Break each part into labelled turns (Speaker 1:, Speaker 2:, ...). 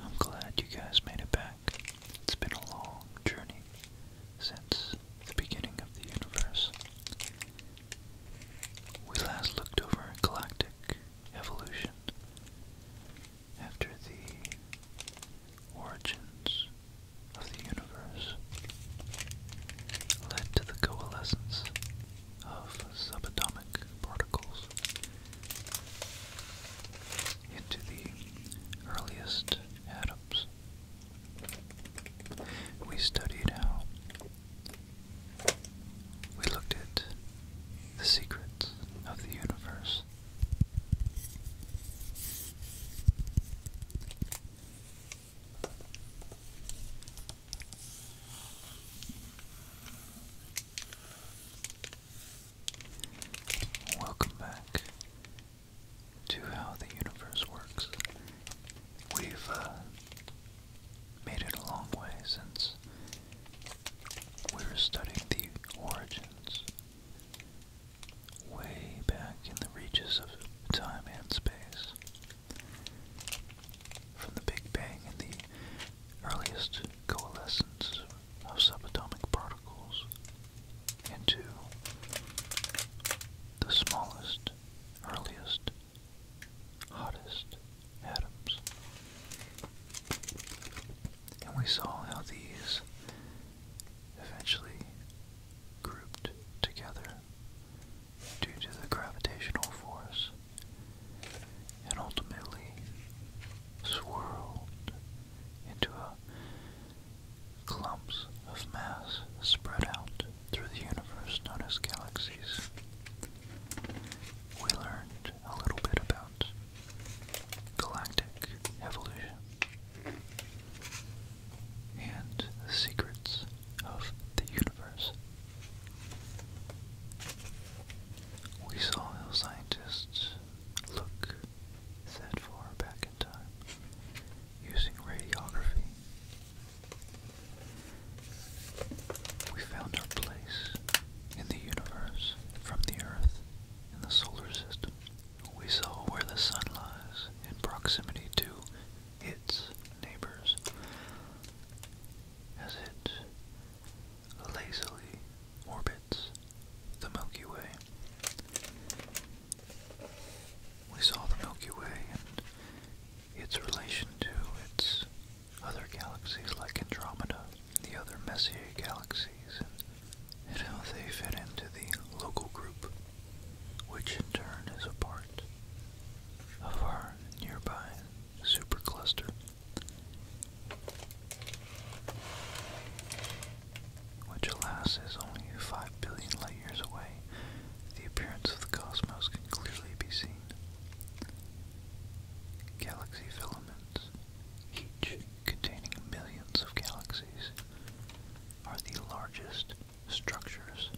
Speaker 1: I'm glad you guys made it back. It's been a long journey since the beginning of the universe. We last looked over a galactic evolution after the origins of the universe led to the coalescence of subatomic particles into the earliest atoms. We studied how we looked at the secrets of the universe. Welcome back to How the Universe Works. We've uh, made it a long way since we are studying the origins way back in the reaches of time and space. From the Big Bang and the earliest coalescence of subatomic particles into the smallest, earliest, hottest atoms. And we saw how these eventually grouped together due to the gravitational force and ultimately swirled into a clumps of mass spread out through the universe known as galaxies. We learned a little bit about galactic evolution and the secrets of the universe. We saw how scientists look that far back in time using radiography. We found our place in the universe from the Earth in the solar system. We saw where the sun lies in proximity to its neighbors as it lazily orbits the Milky Way. We saw the Milky Way and its relation to its other galaxies like Andromeda, the other Messier galaxies, and how they fit into the local group, which in turn is a part of our nearby supercluster. Which, alas, is only 5 billion light years away, the appearance of the cosmos can clearly be seen. Galaxy filaments each containing millions of galaxies, are the largest structures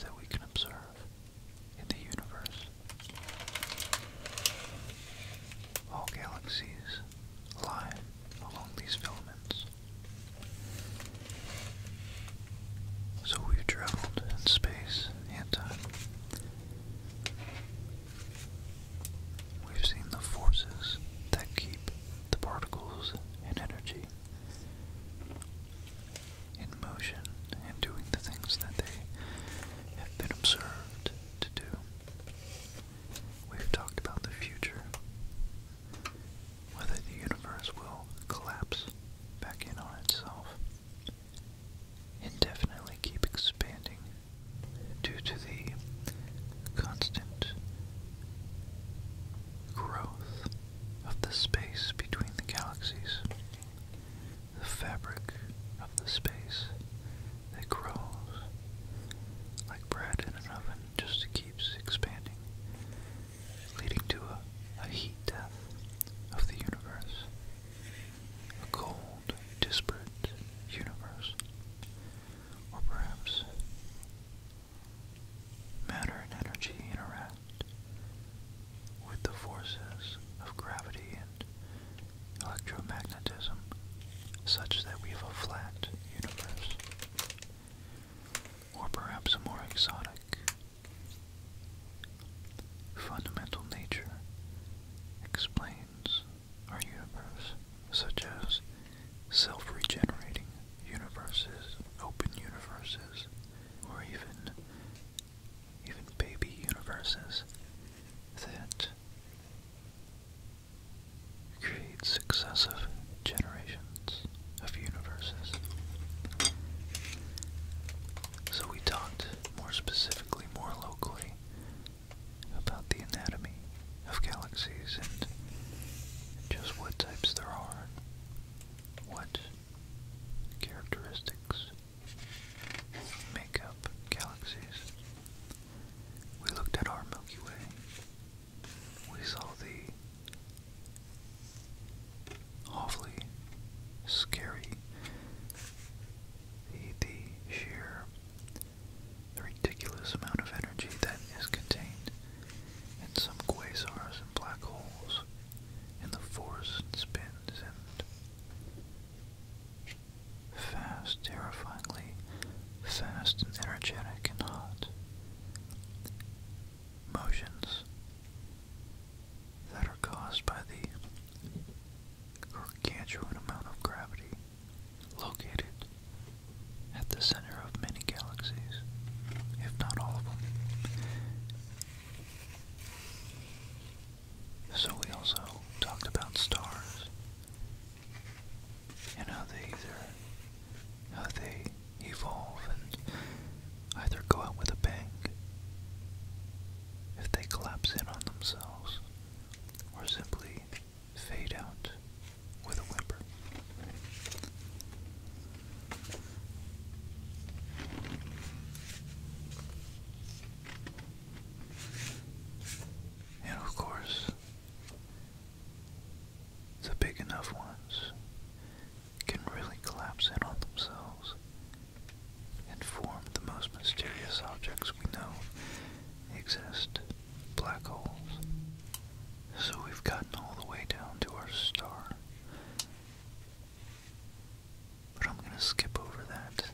Speaker 1: that we can observe in the universe. All galaxies lie along these filaments. So we've traveled in space and time. We've seen the forces that keep the particles and energy in motion and doing the things that they have been observed to do. We've talked about the future, whether the universe will collapse back in on itself, indefinitely keep expanding due to the constant growth of the space between the galaxies, the fabric of the space that grows like bread in an oven just keeps expanding, leading to a heat death of the universe a cold, disparate universe, or perhaps matter and energy interact with the forces of gravity and electromagnetism such that we have a flat universe. Or perhaps a more exotic, fundamental nature explains our universe, such as self-regenerating universes, open universes, or even even baby universes that create successive generations of universes. So we talked more specifically, more locally about the anatomy of galaxies and just what types there are, what characteristics make up galaxies. We looked at our Milky Way. We saw the awfully scary, the, sheer the ridiculous amount of energy that is contained in some quasars and black holes, and the force it spins, and fast, terrifyingly fast and energetic and hot motions that are caused by the gargantuan amount of gravity located at the center of many galaxies, if not all of them. So we also talked about stars and how they how they evolve and either go out with a bang if they collapse in on themselves or simply fade out with a whimper. And of course, the big enough ones can really collapse in on themselves and form the most mysterious objects we know exist black holes. So we've gotten all the way down to our star. But I'm going to skip over that.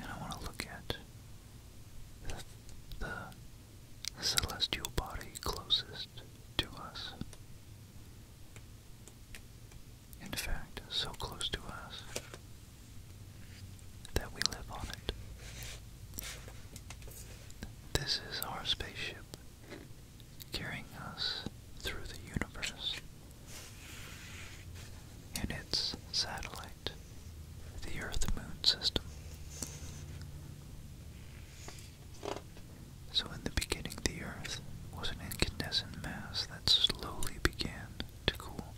Speaker 1: And I want to look at the, celestial body closest to us in fact, so close to us that we live on it. This is our spaceship carrying us through the universe. And its satellite, the Earth Moon system. So, in the beginning, the Earth was an incandescent mass that slowly began to cool,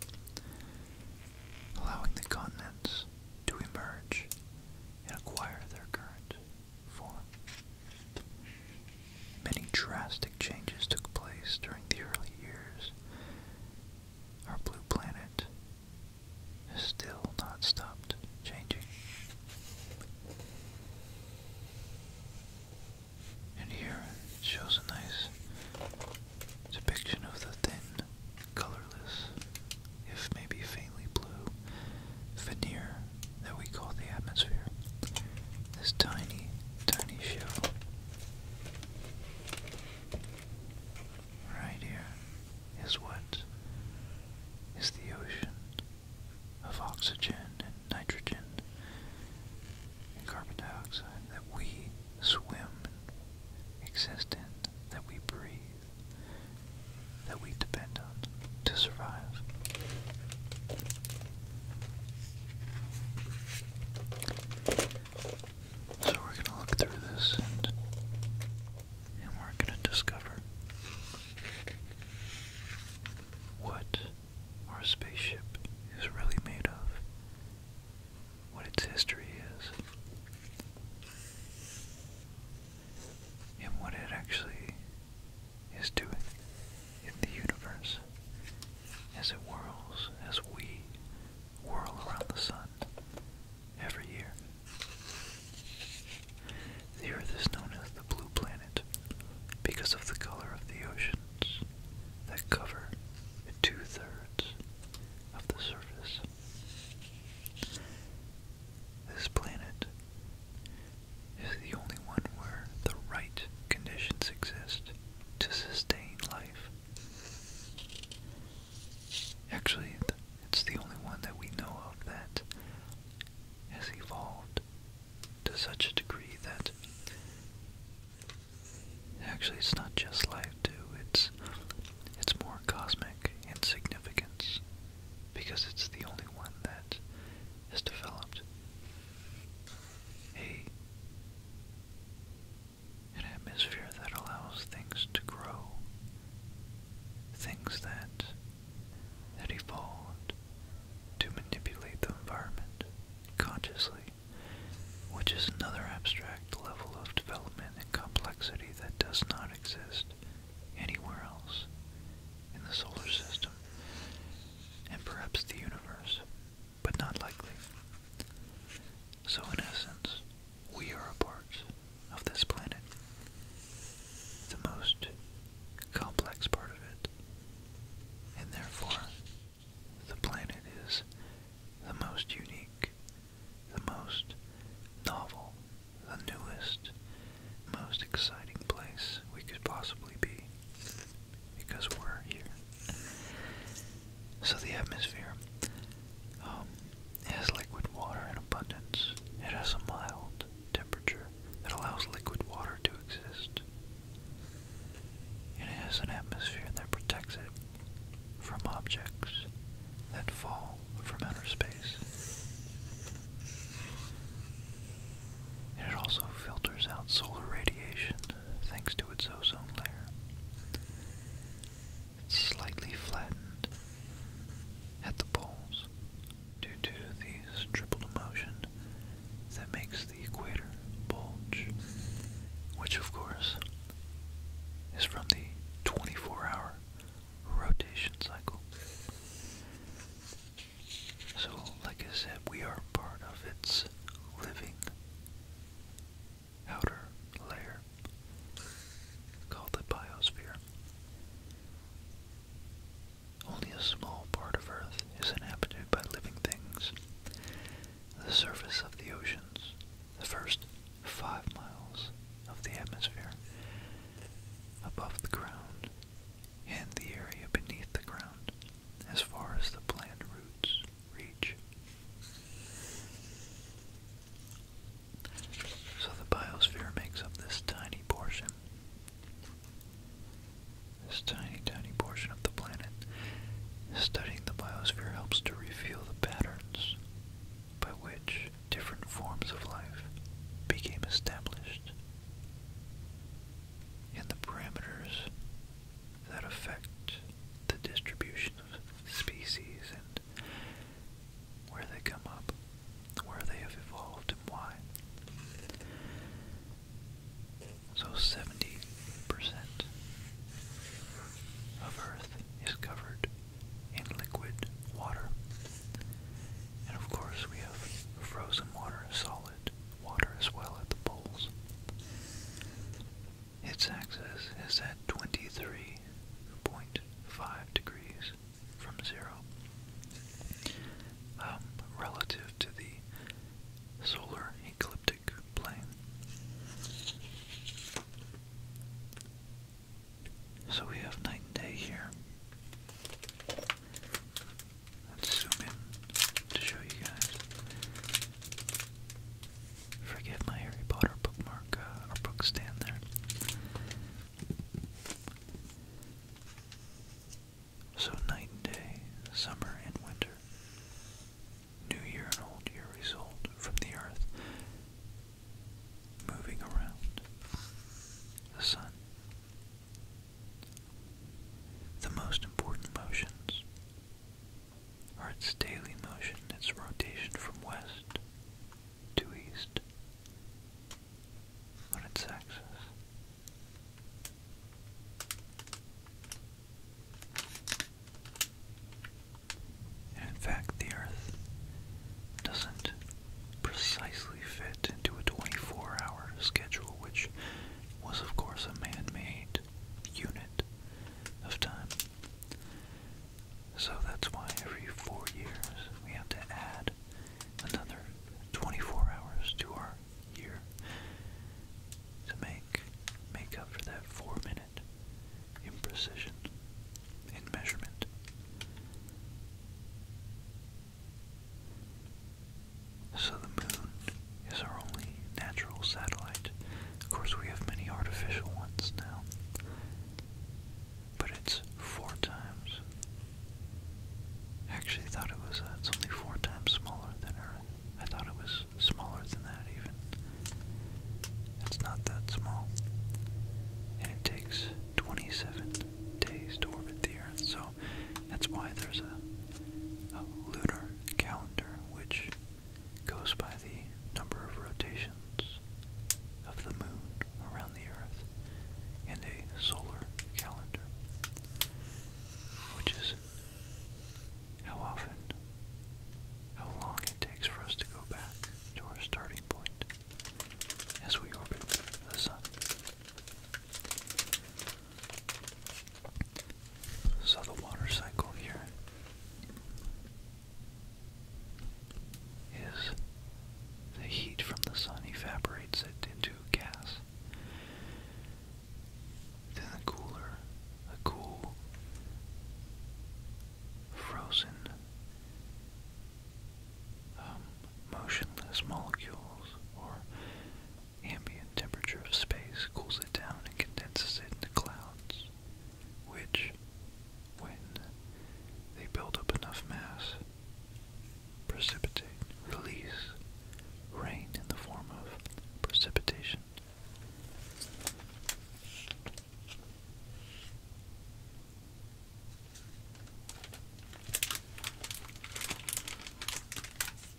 Speaker 1: allowing the continents to emerge and acquire their current form. Many drastic changes took place during the early years. Our blue planet has still not stopped changing. And here it shows a nice depiction of the thin, colorless, if maybe faintly blue, veneer that we call the atmosphere. This tiny, tiny shell. Right here is what is the ocean of oxygen and nitrogen carbon dioxide that we swim and exist in, that we breathe, that we depend on to survive. So we're going to look through this and we're going to discover what our spaceship is really made of, what its history is, and what it actually is doing in the universe as it whirls, as we whirl around the sun every year. The Earth is known as the Blue Planet because of the color of the oceans that cover two-thirds of the surface. This planet is the only one where the right conditions exist to sustain life. Actually, it's the only one that we know of that has evolved to such a degree that Actually, it's not just life too. It's it's more cosmic in significance because it's the only one that is developed. A an atmosphere that allows things to grow, things that that evolved to manipulate the environment consciously which is another abstract level of development and complexity that does not exist anywhere else in the solar system and perhaps the universe, but not likely. So, in essence, we are a part of this planet, the most complex part of it, and therefore the planet is the most unique, the most novel, the newest, most exciting place we could possibly be because we're here. So the atmosphere um, has liquid water in abundance. It has a mild temperature that allows liquid water to exist it has an atmosphere that protects it from objects that fall from outer space. It also filters out solar radiation thanks to its ozone layer. It's slightly flattened at the poles due to these tripled motion that makes the equator bulge, which of course is from the 24 hour rotation cycle. So, like I said, we are part of its living outer layer called the biosphere. Only a small part of Earth is inhabited by living things, the surface of the oceans, the first five miles of the atmosphere, above the ground, and the area beneath the ground, as far as the planned routes reach. So the biosphere makes up this tiny portion. This tiny, tiny portion the planet, studying the biosphere helps to reveal the patterns by which different forms of life became established and the parameters that affect the distribution of species and where they come up, where they have evolved, and why. So 70% of Earth is covered in liquid water. And of course we have frozen water, solid water as well at the poles. Its axis is at 23.5 degrees from zero. Um, relative to the solar ecliptic so we have night and day here. zoom in to show you guys. Forget my Harry Potter bookmark uh, or book stand there. So night and day, summer and winter new year and old year result from the Earth moving around the Sun. The most important motions are its daily motion, its rotation from west to east on its axis. And in fact, the Earth doesn't precisely fit into a 24 hour schedule, which was, of course, a man made unit of time. So that's why every four years we have to add another 24 hours to our year to make make up for that four minute in precision, in measurement. So the moon is our only natural satellite. Of course, we have many artificial ones now. But it's four times. actually thought it was uh, it's only four times smaller than Earth. I thought it was smaller than that even. It's not that small. And it takes 27 days to orbit the Earth, so that's why there's a, a lunar calendar which goes by the number of rotations of the moon around the Earth and a solar calendar, which is how often, how long it takes for us to go back to our starting point as we orbit the sun. So the water cycle here is the heat from the sun evaporates it into gas then the cooler, the cool, frozen, um, motionless molecules or ambient temperature of space cools it down and condenses it into clouds, which, when they build up enough mass, precipitate, release rain in the form of precipitation.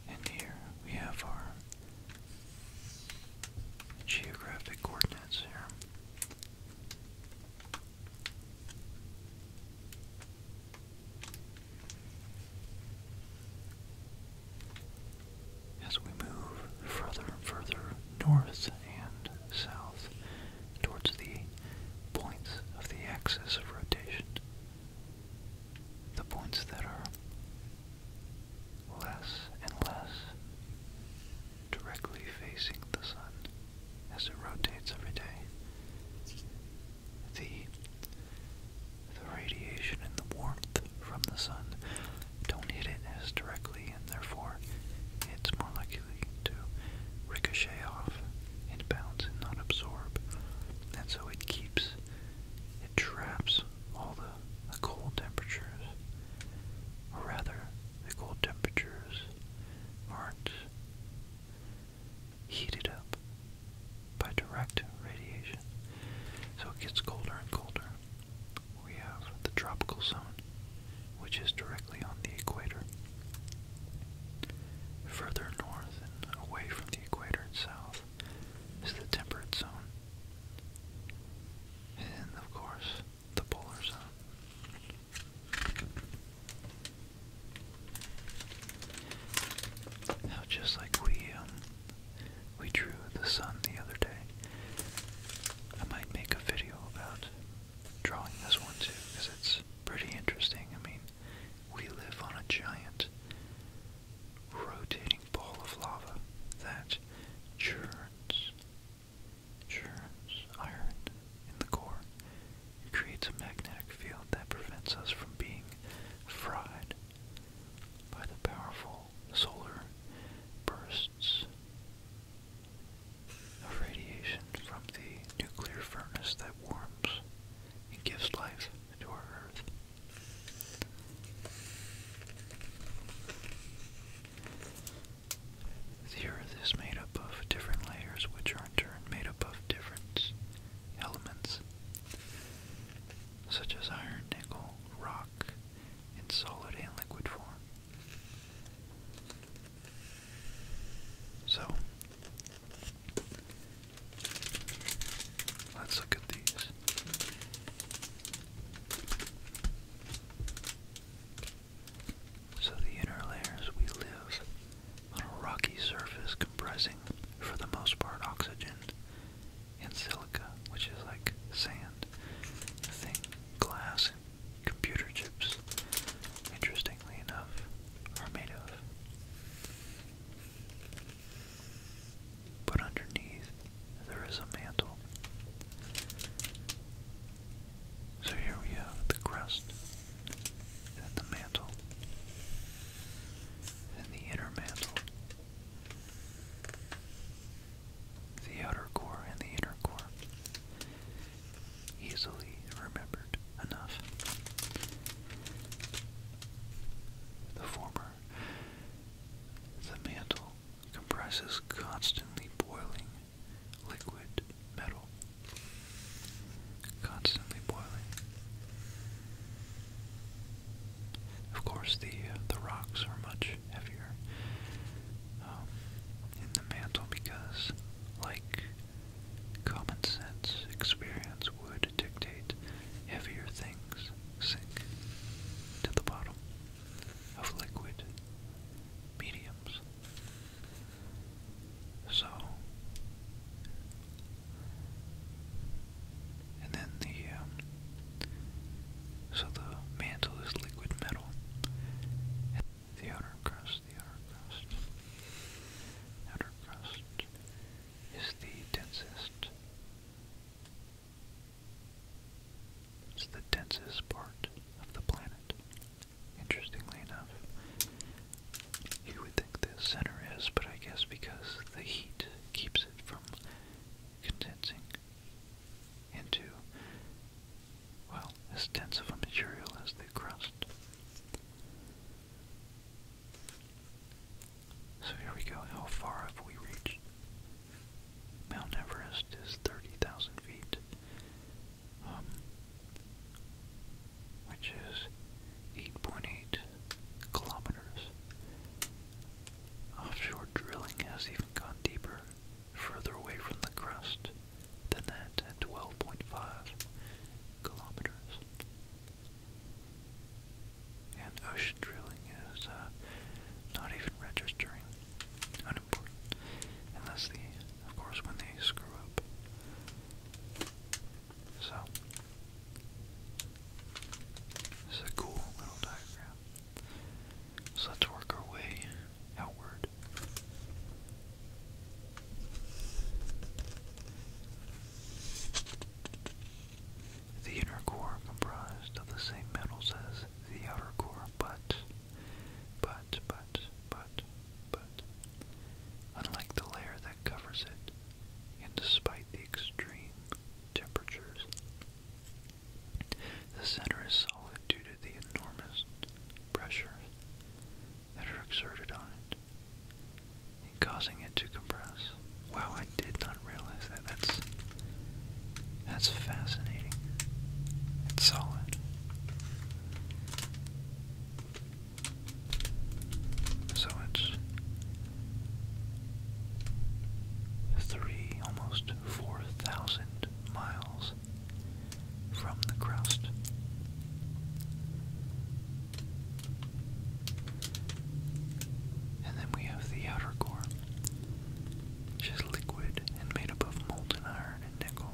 Speaker 1: And here we have our geographic coordinates here as we move further and further north and south towards the points of the axis of rotation. The points that are less and less directly facing the sun as it rotates every day. The, the radiation and the warmth from the sun don't hit it as directly, and therefore it's more likely to ricochet off and bounce and not absorb. And so it keeps, it traps all the, cold temperatures, or rather, the cold temperatures aren't heated up by direct radiation. So it gets colder and colder we have the tropical zone, which is directly on the equator. Further north and away from the equator and south is the temperate zone. And of course, the polar zone. Now, just like we um, we drew the sun the other day. I might make a video about drawing this one too, because it's pretty interesting. I mean, we live on a giant rotating ball of lava that churns, churns iron in the core. creates a magnetic field that prevents us from being fried by the powerful solar bursts of radiation from the nuclear furnace that warms and gives life to our Earth. The Earth is made up of different layers, which are in turn made up of different elements, such as iron, nickel, rock, in solid and liquid form. So, let's look at these. So, the inner layers we live on a rocky surface comprising, for the most part, oxygen and silica, which is like sand. The glass and computer chips, interestingly enough, are made of. But underneath, there is a mantle. So here we have the crust, then the mantle, then the inner mantle, the outer core and the inner core easily remembered enough. The former, the mantle, compresses constantly boiling liquid metal. Constantly boiling. Of course, the uh, the rocks are much heavier um, in the mantle because, like common sense, experience would dictate heavier things sink to the bottom of liquid mediums. So, and then the um, so the mantle is liquid metal. And the outer crust, the outer crust, outer crust is the densest. It's the densest part of the planet. Interestingly enough, you would think the center is, but I guess because the heat keeps it from condensing, into, well, as dense of a material as the crust. So here we go. How far have we reached? Mount Everest is 30,000 feet, um, which is 8.8 kilometers. Offshore drilling has even gone deeper further away from the crust than that at 12.5 kilometers. And ocean drilling is uh, not even registering, unimportant, unless the, of course, when they screw up. So, this is a cool little diagram. So let's work our way outward. The inner core comprised of the same metals as the outer core, but, but, but, but, but, unlike the layer that covers it, and despite the extreme temperatures, the center is solid due to the enormous pressures that are exerted on it, causing it to compress. Wow, I did not realize that. That's that's fascinating. It's solid. So it's three, almost four thousand miles from the crust. And then we have the outer core, which is liquid and made up of molten iron and nickel.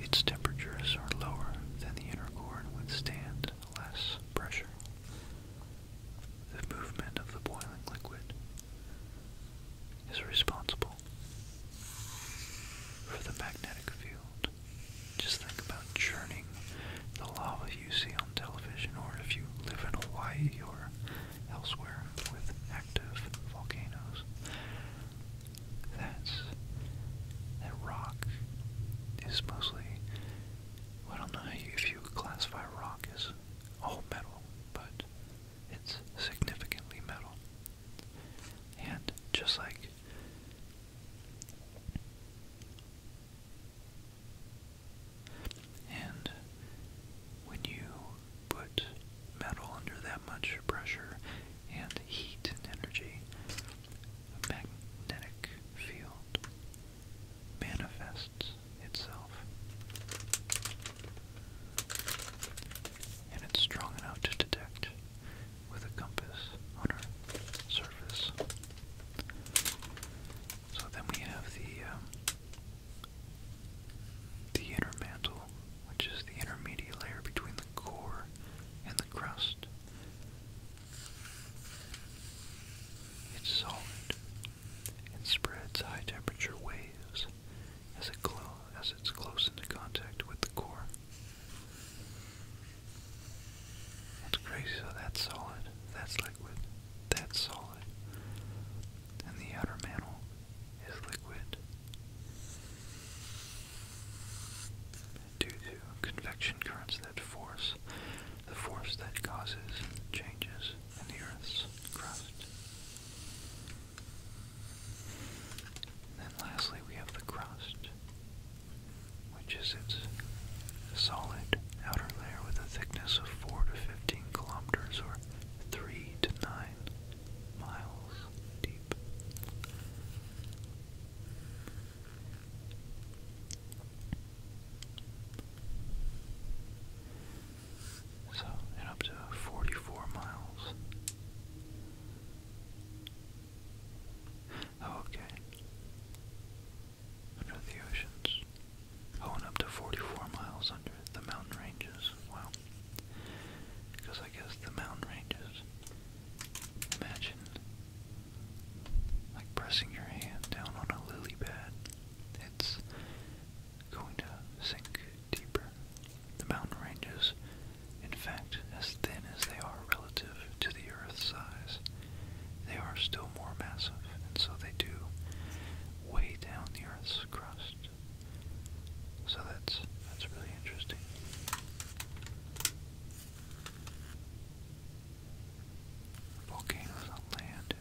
Speaker 1: Its temperatures are lower than the inner core and withstand less pressure. The movement of the boiling liquid is responsible for the magnetic field. Just think about churning the lava you see on television, or if you live in Hawaii or elsewhere with active volcanoes. That's that rock is mostly. I don't know if you classify rock as all metal, but it's significantly metal. And just like and when you put metal under that much pressure and heat and energy, magnetic field manifests itself. And it's strong enough to detect with a compass on our surface. So then we have the um, the inner mantle, which is the intermediate layer between the core and the crust. It's solid it spreads high temperature waves as, it as it's close into contact with the core. It's crazy, so that's solid, that's liquid, that's solid, and the outer mantle is liquid. Due to convection currents that force, the force that causes changes in the Earth's crust. Then lastly we have the crust, which is its solid outer layer with a thickness of 4 to 15 kilometers or 3 to 9 miles deep. So, and up to 44 miles. Oh, okay. Under the oceans. Oh, up to 44 miles under the mountain ranges. Wow. Because I guess the mountain ranges. Imagine like pressing your hand down on a lily pad. It's going to sink deeper. The mountain ranges, in fact, as thin as they are relative to the Earth's size, they are still more massive, and so they do weigh down the Earth's crust. So that's that's really interesting. Volcanoes on land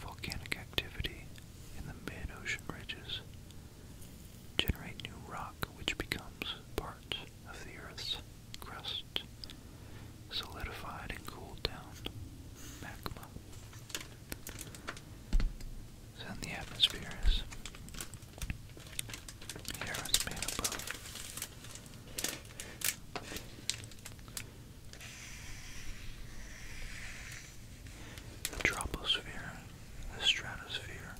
Speaker 1: volcanic activity in the mid-ocean ridges generate new rock which becomes part of the Earth's crust, solidified and cooled down magma. So the atmosphere is air made up the troposphere, the stratosphere,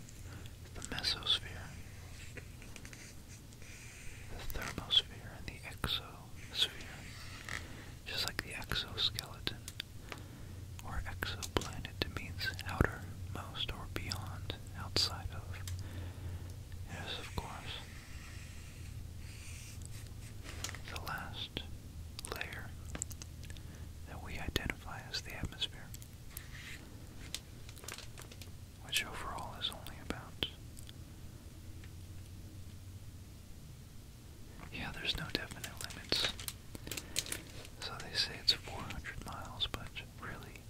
Speaker 1: the mesosphere, the thermosphere, and the exosphere, just like the exoskeleton or exoplanet means outermost or beyond, outside of. Yes, of course. The last layer that we identify as the atmosphere, which overall is only about. Yeah, there's no definite limits. So they say it's 400 miles, but really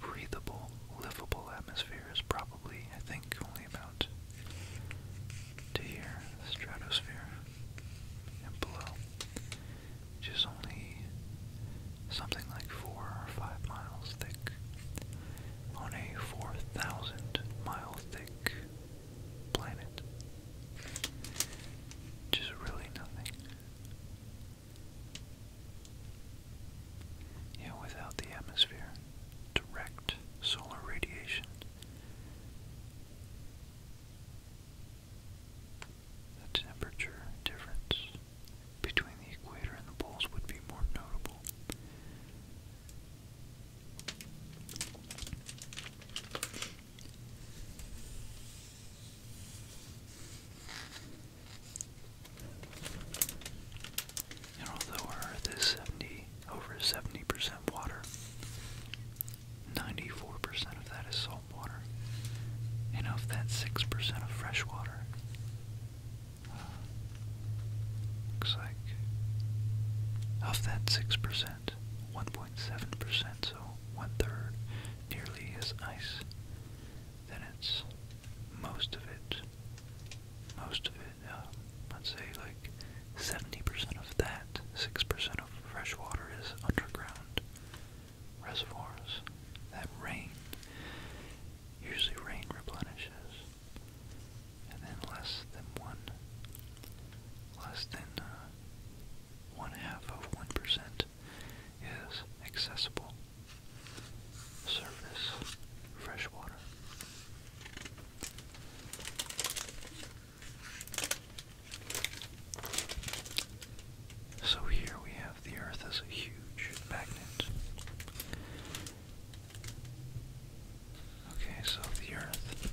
Speaker 1: breathable, livable atmosphere is probably, I think, only about to here, the stratosphere, and below, which is only something like four or five miles thick, on a 4,000 mile thick planet, which really nothing. Yeah, without the atmosphere, direct solar radiation the temperature difference between the equator and the poles would be more notable. although Earth is 70 over 70% water. 94% of that is salt water. And of that, 6% of fresh water. Uh, looks like of that 6%, 1.7%, so one third nearly is ice. Then it's most of it, most of it, uh, let's say 70% of that, 6% of fresh water is underground reservoirs. That rain, usually rain replenishes, and then less than one, less than uh, one half of 1% is accessible surface fresh water. So here we have the Earth as a huge magnet. Okay, so the Earth,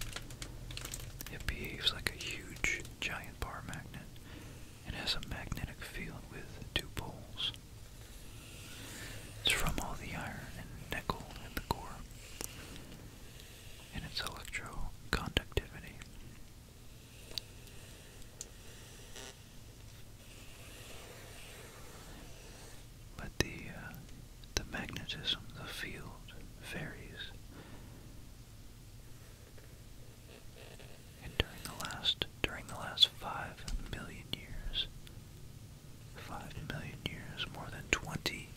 Speaker 1: it behaves like a huge giant bar magnet and has a magnetic field with two poles. It's from all the iron and nickel in the core. In its electroconductivity. But the uh, the magnetism, the field varies. And during the last during the last five million years, five million years, more than twenty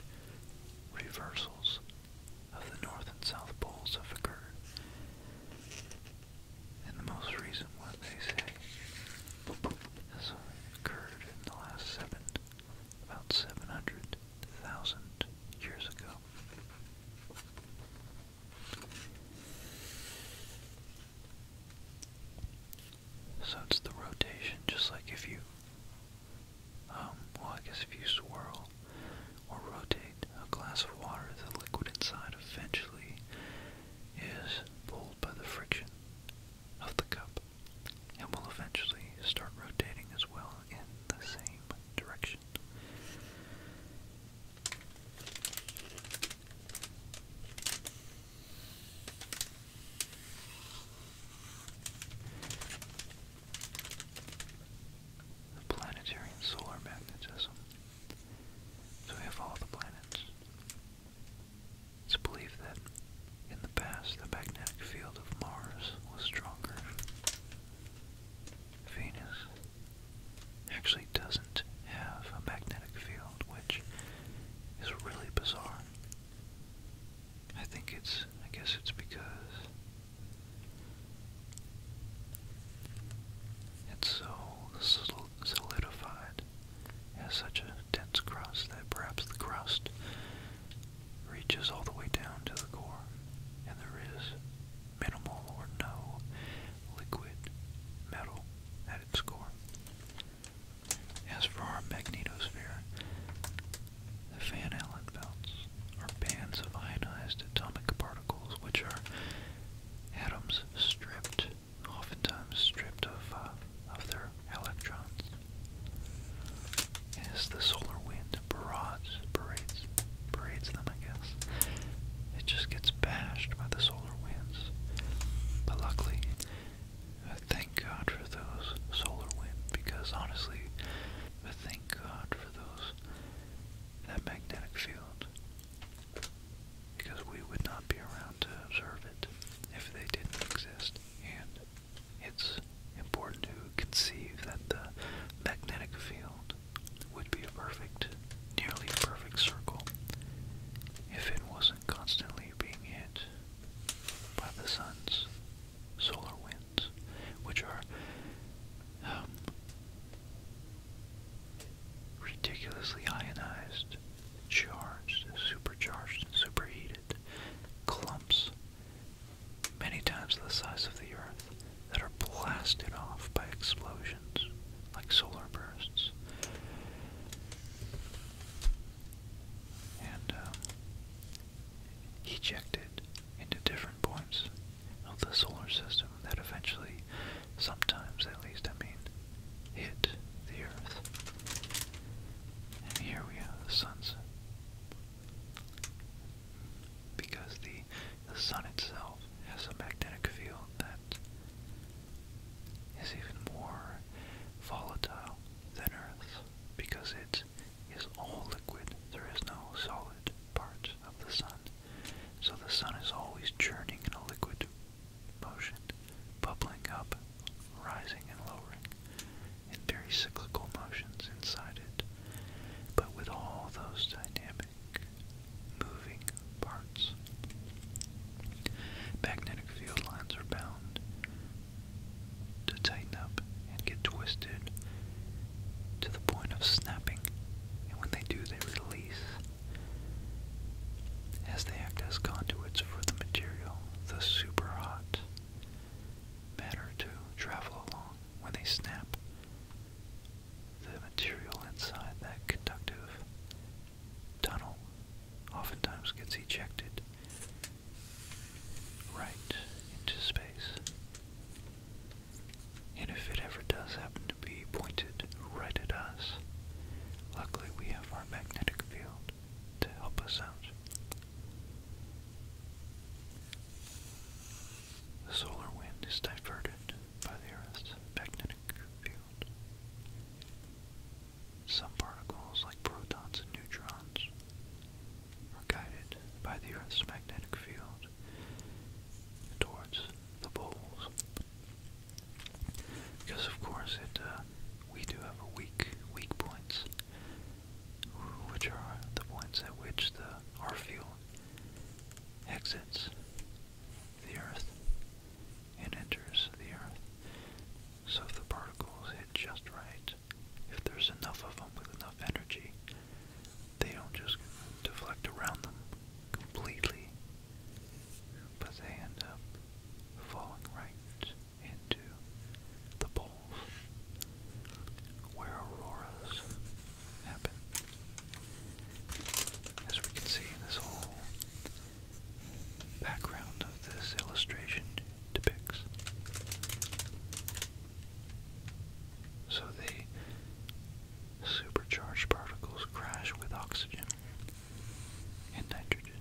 Speaker 1: reversals of the North and South Poles have occurred. And the most recent one, they say, has occurred in the last seven, about 700,000 years ago. So it's the rotation, just like if you um, well, I guess if you swirl or rotate a glass of water, the liquid inside eventually is pulled by the friction of the cup and will eventually start rotating as well in the same direction. The planetary solar magnetism. So we have all the planets. It's believed that in the past the magnetic field of Mars was stronger. Venus actually doesn't have a magnetic field, which is really bizarre. I think it's, I guess it's because it's so solidified, has such a dense crust that perhaps the crust reaches all the way down to the core, and there is minimal or no liquid metal at its core. As for our magnetosphere, the Van Allen belts are bands of ionized atomic particles which are atoms stripped, oftentimes stripped of, uh, of their electrons. As the solar wind barrage, parades, parades them, I guess, it just gets bashed by the solar winds. But luckily, I thank God for those solar winds because honestly, the thing thank God for those, that magnetic field, because we would not be around to observe it if they didn't exist. And it's important to conceive that the magnetic field would be a perfect, nearly perfect circle if it wasn't constantly being hit by the sun's solar winds, which are um, ridiculously ionized, charged, supercharged, and superheated clumps, many times the size of the Earth, that are blasted off by explosions like solar bursts. And um, ejected into different points of the solar system that eventually, sometimes at least, I mean, hit the Earth. And here we have the sunset. Because the, sun itself has a magnetic field that is even more volatile than Earth because it is all liquid. There is no solid part of the sun. So the sun is always churning in a liquid motion, bubbling up, rising and lowering, in very cyclical motions inside it. But with all those dynamic, moving parts. Magnetic field lines are bound to tighten up and get twisted to the point of snapping, and when they do, they release as they act as conduits for the material, the super hot matter to travel along. When they snap, the material inside that conductive tunnel oftentimes gets ejected right into space. And if it ever does happen to be pointed right at us, luckily we have our magnetic field to help us out. The solar wind is diverted by the Earth's magnetic field. Some particles, like protons and neutrons, are guided by the Earth's magnetic field towards the poles. Because of course it, uh, we do have weak, weak points, which are the points at which the our field exits the Earth and enters the Earth. So if the particles hit just right, if there's enough of them with enough energy, they don't just deflect around them completely, but they end up falling right into the poles where auroras happen. As we can see, this whole background of this illustration depicts so the supercharged particles crash with oxygen and nitrogen,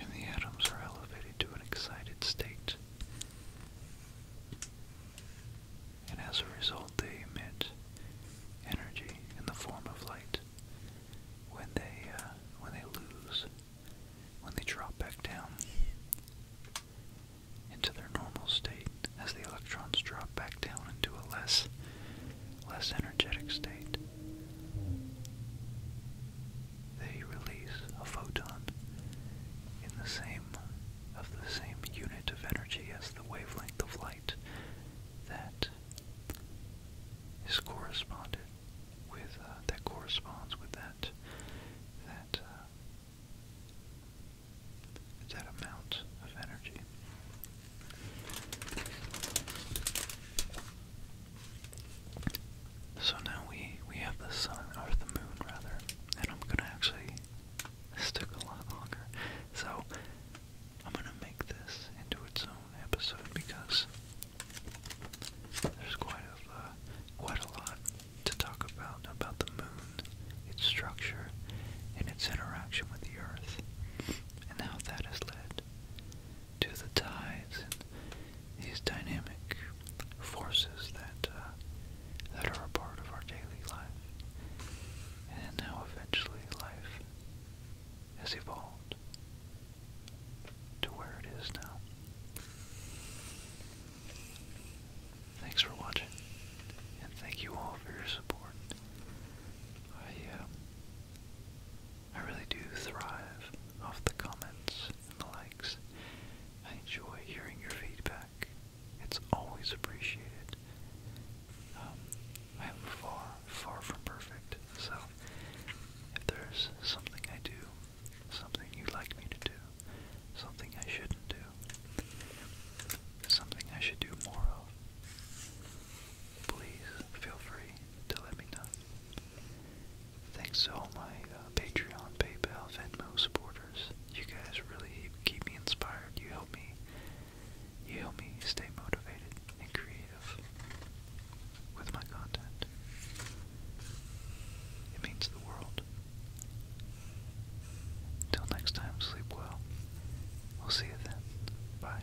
Speaker 1: and the atoms are elevated to an excited state. And as a result, they emit energy in the form of light when they uh, when they lose when they drop back down into their normal state as the electrons drop back down into a less less energetic state. They release a photon in the same of the same unit of energy as the wavelength of light that is corresponded with uh, that corresponds with that that uh, that amount of energy. So now we we have the sun or the moon rather, and I'm gonna actually stick a lot longer. So I'm gonna make this into its own episode because there's quite a uh, quite a lot to talk about about the moon, its structure, and its interaction with the earth, and how that has led to the tides and these dynamic forces that uh, that are a part of our daily life, and how eventually life has evolved to where it is now. Thanks for watching, and thank you all for your support. I, uh, I really do thrive off the comments and the likes. I enjoy hearing your feedback. It's always appreciated. Um, I am far, far from perfect, so if there's something I do something you'd like me to do, something I shouldn't do, something I should do more of, please feel free to let me know. Thanks to all my uh, Patreon, PayPal, Venmo supporters. You guys really keep me inspired. You help me. You help me stay motivated and creative with my content. It means the world. Until next time, sleep well. We'll see you then. Bye.